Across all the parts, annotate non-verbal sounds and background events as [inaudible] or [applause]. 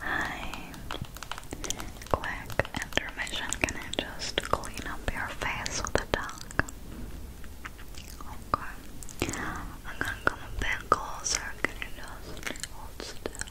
Hi. Quick intermission. Can I just clean up your face with a tongue? Okay. I'm gonna come a bit Can you just hold still?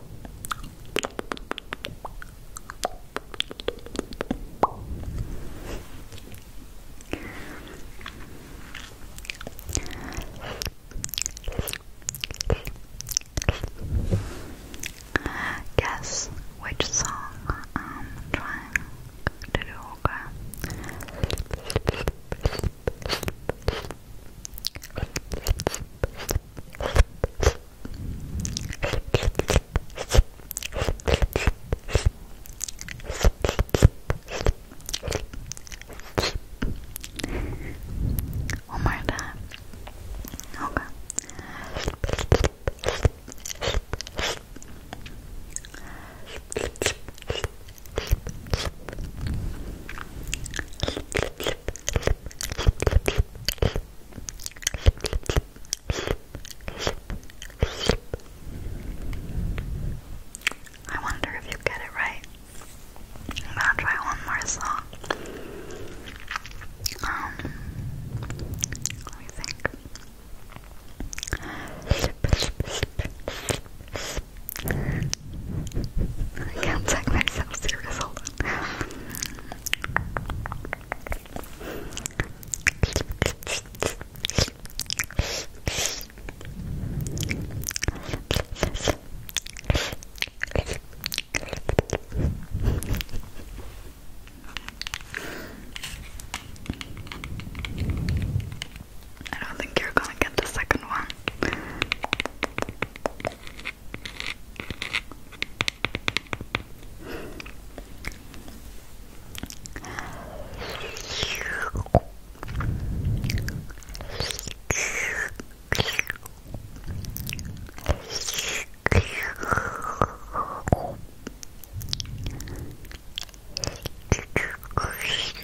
Guess which song I'm trying to do, one more time. Okay. I wonder if you get it right. I'm try one more song. Um, let me think. I can't take myself serious, I don't think you're gonna get the second one. [laughs]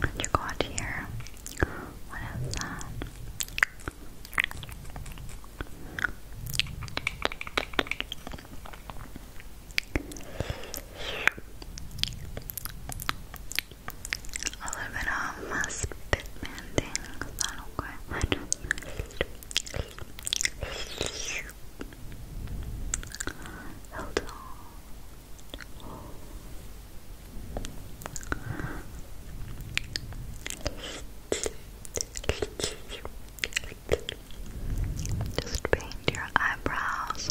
What you got here? What is that? all of it all must fit man things. I Hold on. Just paint your eyebrows.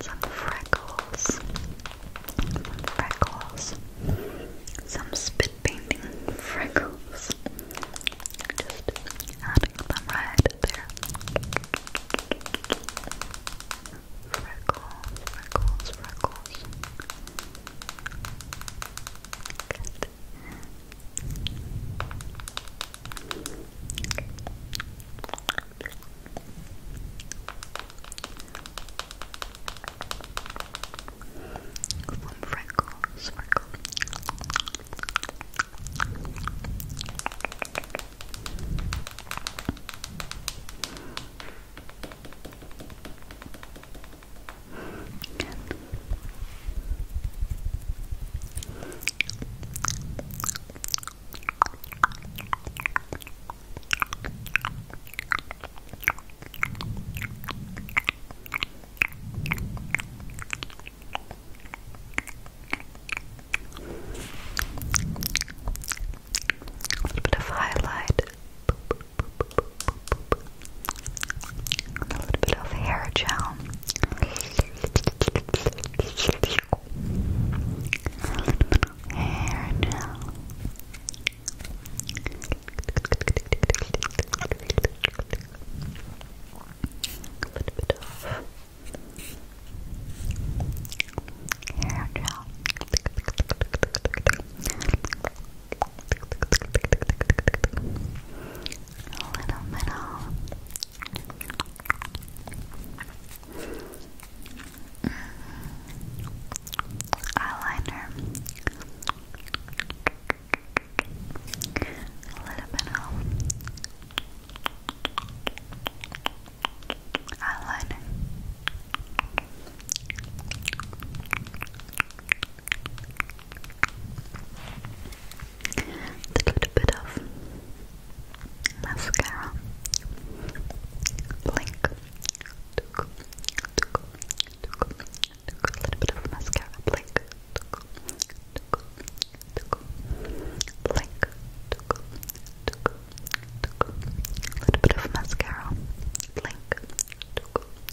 Some freckles. Some freckles. Some spit painting freckles. Just adding them right there. Freckles, freckles, freckles. Good. From freckles, freckles. Good. A little bit of highlight a little bit of hair gel. Hair gel. A little bit of hair gel. A little middle. Eyeliner. A little middle. Eyeliner. Let's bit of mascara. Blink. Took, took, a little bit of mascara. Blink. Took, Blink. A little bit of mascara. Blink.